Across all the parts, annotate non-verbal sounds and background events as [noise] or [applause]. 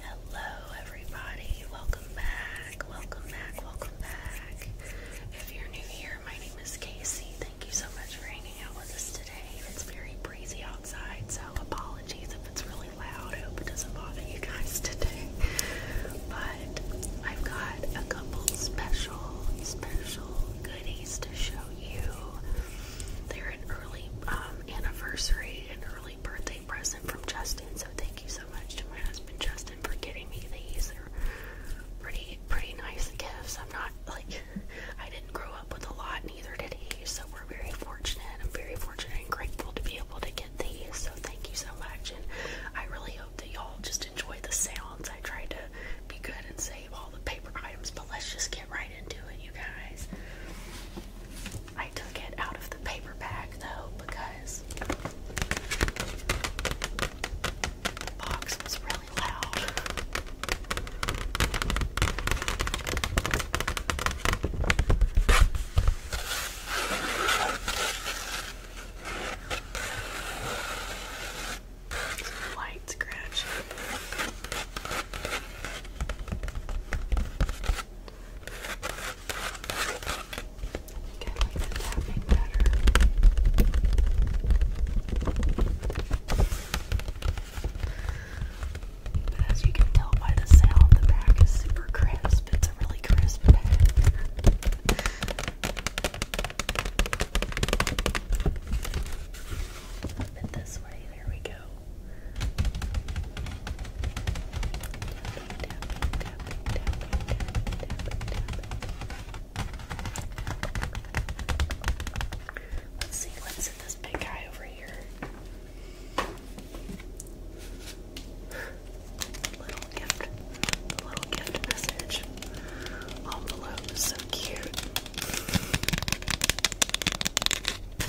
Hello, everybody. Welcome back. Welcome back. Welcome back. If you're new here, my name is Casey. Thank you so much for hanging out with us today. It's very breezy outside, so apologies if it's really loud. I hope it doesn't bother you guys today. But I've got a couple special, special goodies to show you. They're an early um, anniversary, an early birthday present from Justin. So thank you so much to my husband Justin for getting me these. They're pretty, pretty nice gifts. I'm not like [laughs] I didn't grow up with a lot, neither did he. So we're very fortunate. I'm very fortunate and grateful to be able to get these. So thank you so much, and I really that y'all just enjoy the sounds. I tried to be good and save all the paper items, but let's just get right into it, you guys. I took it out of the paper bag though because box was really loud. Light scratch. I the tapping better. But as you can tell by the sound, the back is super crisp. It's a really crisp bag. Flip it this way. There we go. Tapping, tapping, tapping, Let's see what's in this big guy over here gift, the little gift message envelope. So cute. I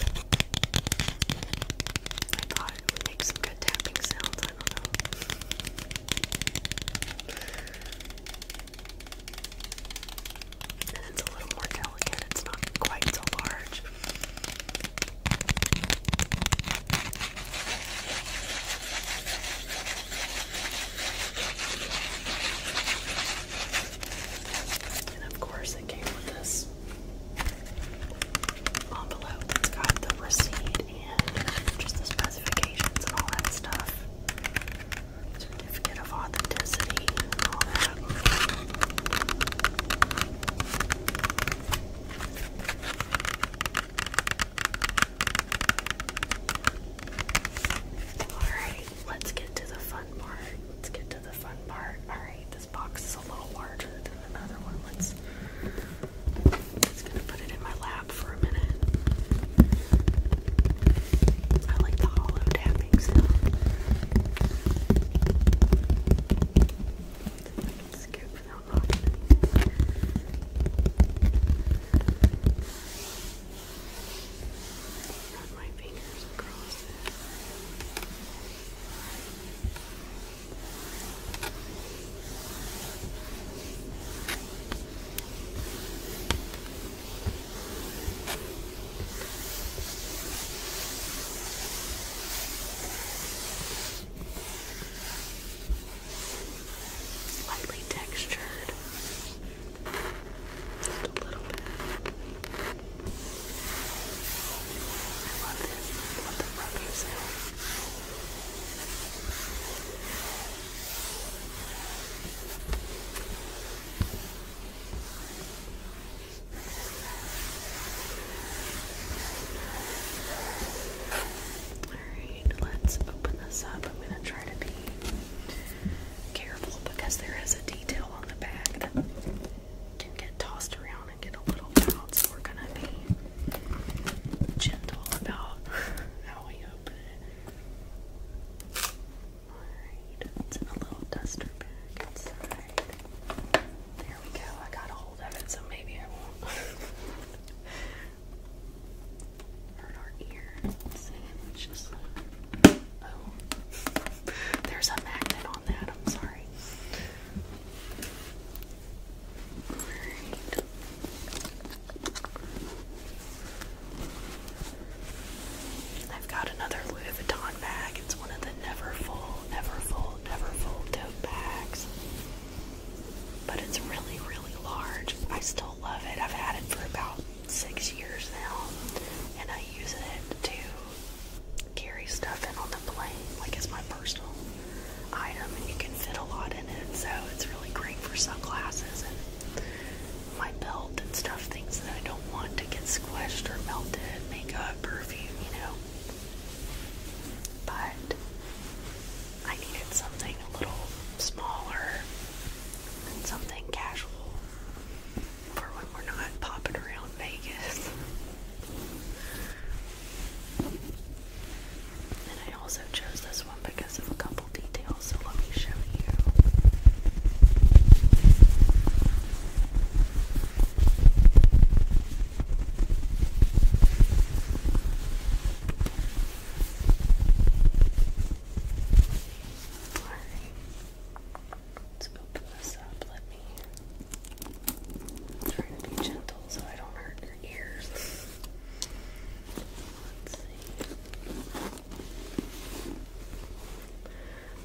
thought it would good tapping sounds. I don't know. And it's a little more delicate. It's not quite so large. And of course, it came with this envelope that's got the receipt and just the specifications and all that stuff. Certificate of authenticity and all that. Alright, let's get to the fun part. Let's get to the fun part. Alright, this box is a little larger than another one. Let's it's gonna put it in my lap for a minute. I like the hollow tapping sound. Scoop hold on. Run my fingers across it. Okay lightly textured. Just a little bit. I love this. I love the rubber sound let's open this up. I'm going to try to be careful because there is a detail on the back that can get tossed around and get a little loud, so we're going to be gentle about [laughs] how we open it. Alright, it's in a little duster bag inside. There we go, I got a hold of it, so maybe I won't. [laughs] Oh. there's a magnet on that. I'm sorry. right. I've got another Louis Vuitton bag. It's one of the never full, never full, never full tote bags. But it's really, really large. I still love it. I've had it for about six years now, and I use it to carry stuff in on the plane, like it's my personal item, and you can fit a lot in it. So it's really great for sunglasses and my belt and stuff, things that I don't want to get squished or melted, makeup, perfume, you know. But I needed something a little smaller and something casual for when we're not popping around Vegas. And I also chose this one because of a couple details, so let me show you. Let's open this up. Let me try to be gentle so I don't hurt your ears. Let's see.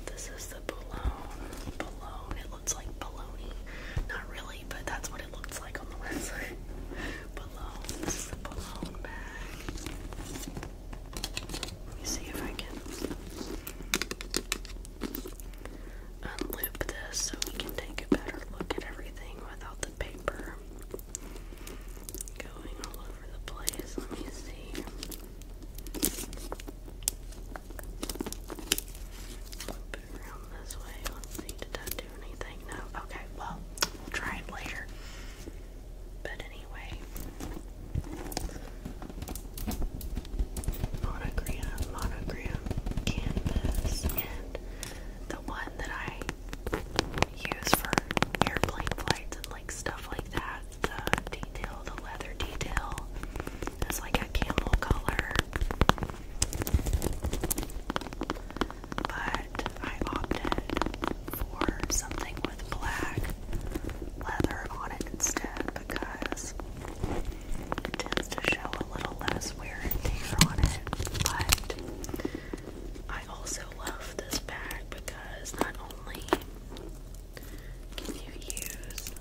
This is the balloon. Balloon. It looks like baloney. Not really. [laughs] Let me see if I can unloop this so we can take a better look at everything without the paper going all over the place. Let me see. Flip around this way anything? No? Okay, well, we'll try it later. But anyway, monogram, monogram canvas, and the one that I use for airplane flights and like stuff like that. The detail, the leather detail, is like a camel color but I opted for something with black leather on it instead because it tends to show a little less wear and tear on it. But I also love this bag because not only can you use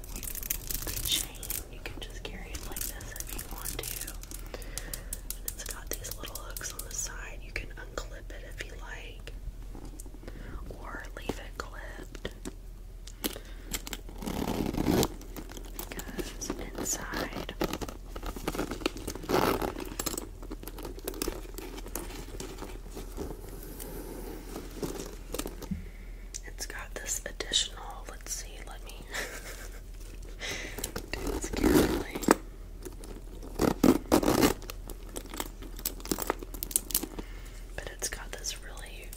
the chain, you can just carry it like this if you want to it's got these little hooks on the side. You can unclip it if you like, or leave it clipped. Because inside it's got this additional, let's see, let me [laughs] But it's got this really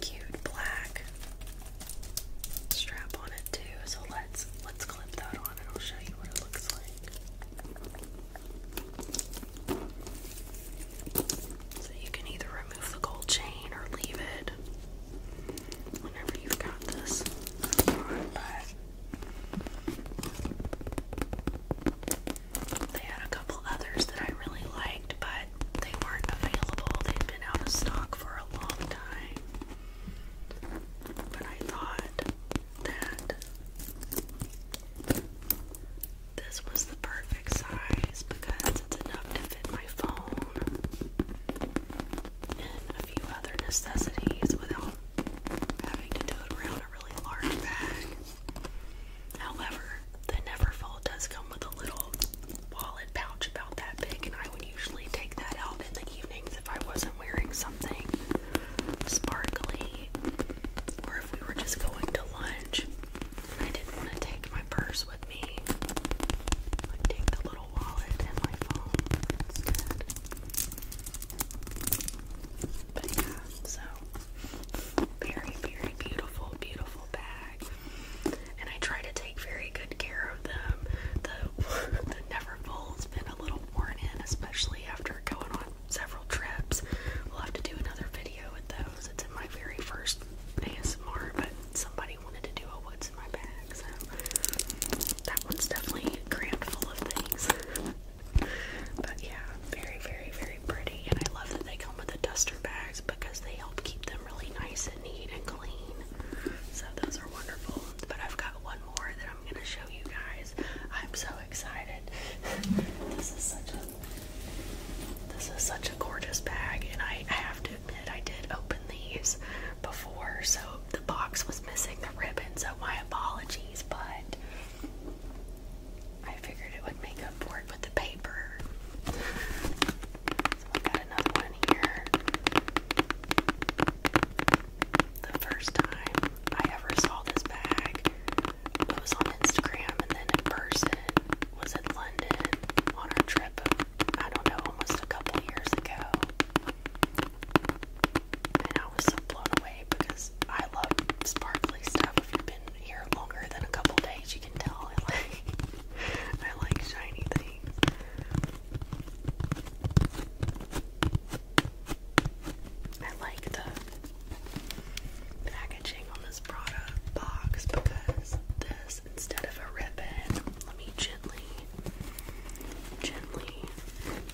cute black strap on it too. So let's let's clip that on and I'll show you what it looks like. So you can either remove the gold chain or leave it whenever you've got this they had a couple others that I really liked, but they weren't available. They'd been out of stock for a long time. But I thought that this was the perfect size because it's enough to fit my phone in a few other necessities without having to tote around a really large bag. However, the Neverfull does come with a little wallet pouch about that big, and I would usually take that out in the evenings if I wasn't wearing something sparkly or if we were just going to lunch. I didn't want to take my purse with me. I take the little very, very beautiful, beautiful bag. And I try to take very good care of them. The [laughs] the Neverfull's been a little worn in, especially after going on several trips. We'll have to do another video with those. It's my very first ASMR, but somebody wanted to do a what's in my bag, so that one's definitely crammed full of things. but yeah, very, very, very pretty, and I love that they come with the duster bags because they help keep them really nice and neat and clean. So those are wonderful. But I've got one more that I'm gonna show you guys. I'm so excited. [laughs] this is such a this is such a gorgeous bag, and I have to I did open these before, so the box was missing the ribbon, so my apologies, but I figured it would make up for it with the paper. So i got another one here. The first time I ever saw this bag was on Instagram and then in person was in London on our trip I don't know, almost a couple years ago. And I was blown away because I love sparkly stuff. If you've been here longer than a couple days, you can tell I like [laughs] shiny things. I like the packaging on this product box because this instead of a ribbon. Let me gently, gently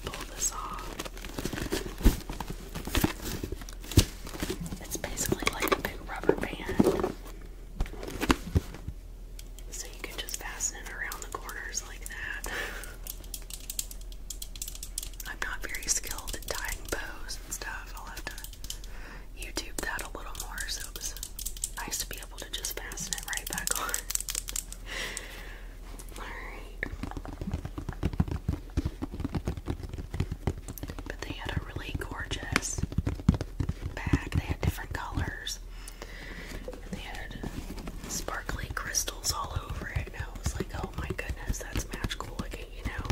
pull this off. It's basically like a big rubber band. So you can just fasten it around the corners like that. [laughs] I'm not very skilled at tying bows and stuff. I'll have to YouTube that a little more. So it was nice to be [laughs] But they had a really gorgeous bag. They had different colors. they had sparkly crystals all over it. And I was like, oh my goodness, that's magical looking, you know?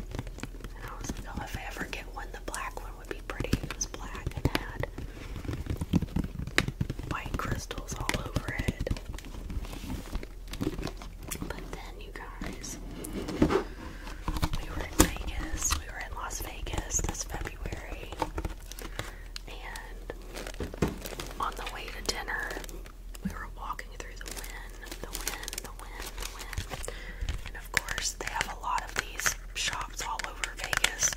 And I was like, oh, if I ever get one, the black one would be pretty it was black and had white crystals all over it. But then, you guys, we were in Vegas. We were in Las Vegas this February. And on the way to dinner, we were walking through the wind, the wind, the wind, the wind. And of course, they have a lot of these shops all over Vegas.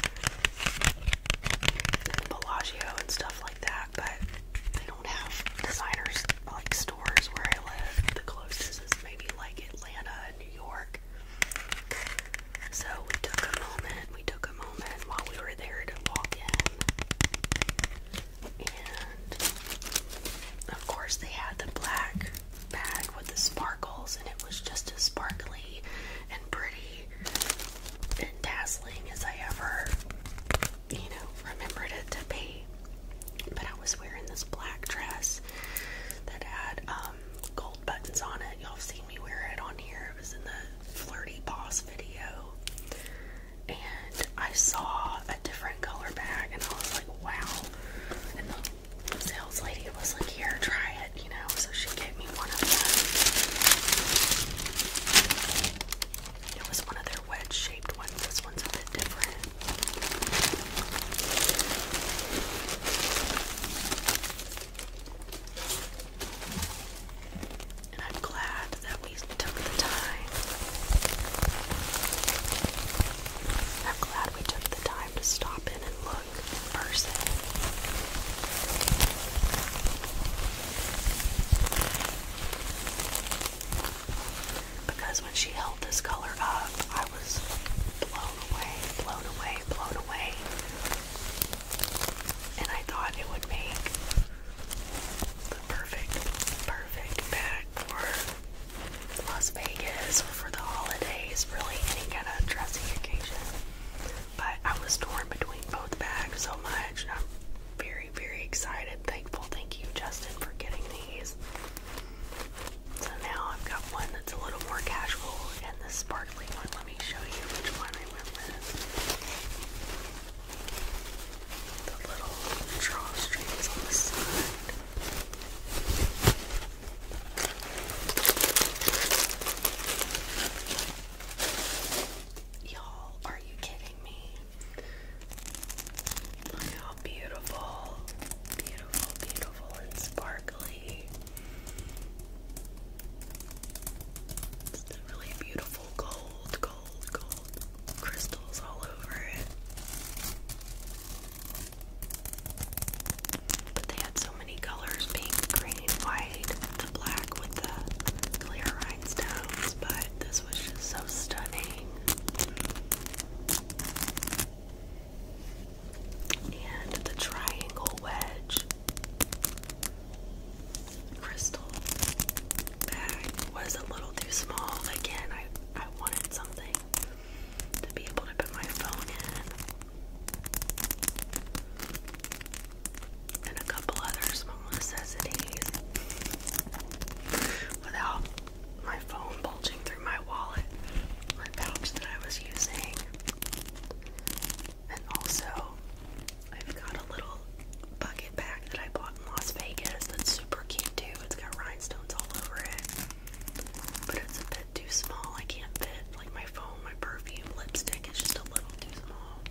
Bellagio and stuff like that, but they don't have designers like stores where I live. The closest is maybe like Atlanta and New York. So we took a moment, we took a moment while we were there to walk in. And of course they had the black bag with the sparkles and it was just as sparkly and pretty and dazzling as I ever, you know, remembered it to be. But I was wearing this black dress that had um, gold buttons on it. Y'all have seen me wear it on here. It was in the Flirty Boss video. And I saw a different color bag and I was like, wow. And the sales lady was like, here, try it you know, so she gave me one of them. It was one of their wedge shaped ones. This one's a bit different. And I'm glad that we took the time. I'm glad we took the time to stop in and look person. Because when she held this color up, I was blown away, blown away, blown away. And I thought it would make the perfect, perfect bag for Las Vegas or for the holidays, really any kind of dressing occasion. But I was torn between both bags so much. I'm very, very excited, thankful. Thank you, Justin, for getting these. So now I've got one that's a little more casual and the sparkly one. Let me show you which one I went with. The little drawstrings on the side. Y'all, are you kidding me? Look how beautiful, beautiful, beautiful, and sparkly. It's really beautiful gold, gold, gold crystals all over it. But they had so many colors pink, green, white, the black with the clear rhinestones, but this was just so stunning. And the triangle wedge crystal bag was a little too small. Again, I, I wanted something to be able to put my phone in and a couple other small necessities without my phone bulging through my wallet, my pouch that I was using. And also, I've got a little bucket bag that I bought in Las Vegas that's super cute too. It's got rhinestones all over it, but it's a too small. I can't fit like my phone, my perfume, lipstick It's just a little too small.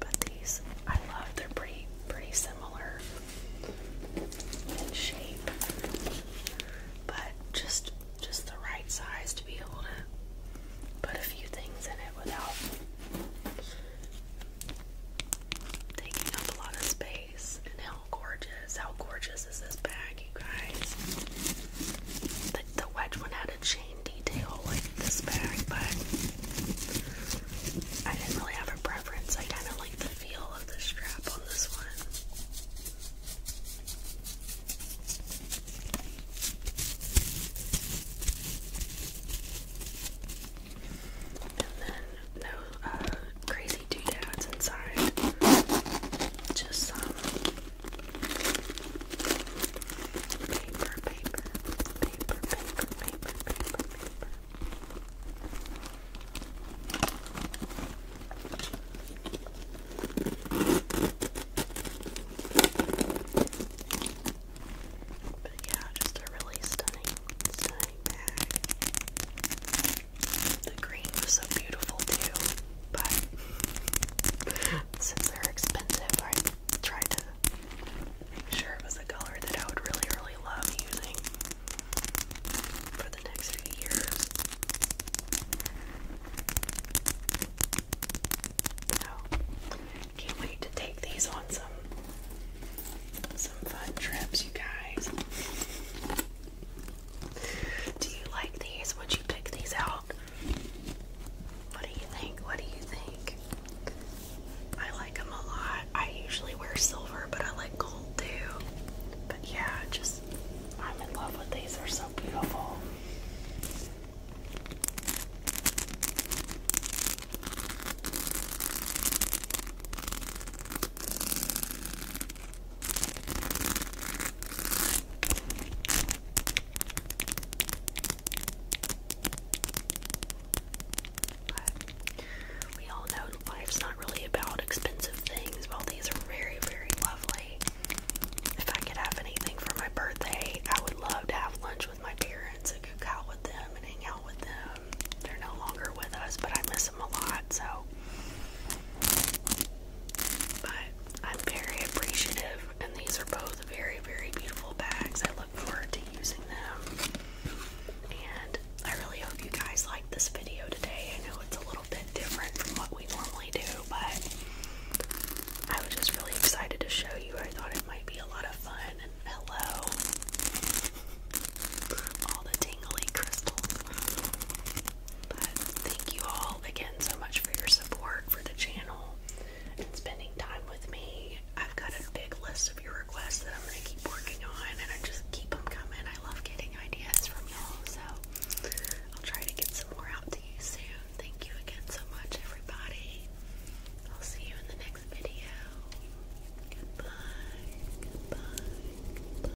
But these I love. They're pretty pretty similar in shape. But just just the right size to be able to put a few things in it without taking up a lot of space how gorgeous. How gorgeous is this bag, you guys? The, wedge one had a chain detail like this bag, but I didn't really have a preference. I kind of like the feel of the strap on this one. And then no uh, crazy doodads inside. Just some paper, paper, paper, paper, paper, paper, paper. But yeah, just a really stunning, stunning bag. The green was so beautiful too, but since they're expensive, I tried to make sure it was a color that I would really, really love using for the next few years. can't wait to take these on some some fun trips, you guys. Do you like these? Would you pick these out? What do you think? What do you think? I like them a lot. I usually wear silver, but I like gold too. But yeah, just I'm in love with these. They're so beautiful we all know life's not really about expensive things. Well, these are very, very lovely. If I could have anything for my birthday, I would love to have lunch with my parents and cook out with them and hang out with them. They're no longer with us, but I miss them a lot, so but I'm very appreciative, and these are both very, very beautiful bags. I look forward to using them. And I really hope you guys liked this video today. I know it's a little bit different from what we normally do, but I was just really excited to show you. I thought it might be a lot of fun. And hello, all the tingly crystals. But thank you all again so much for your support for the channel and spending time with me. I've got a big list of your requests that I'm going to keep working on, and I just keep them coming. I love getting ideas from y'all, so I'll try to get some more out to you soon. Thank you again so much, everybody. I'll see you in the next video. Goodbye. Goodbye.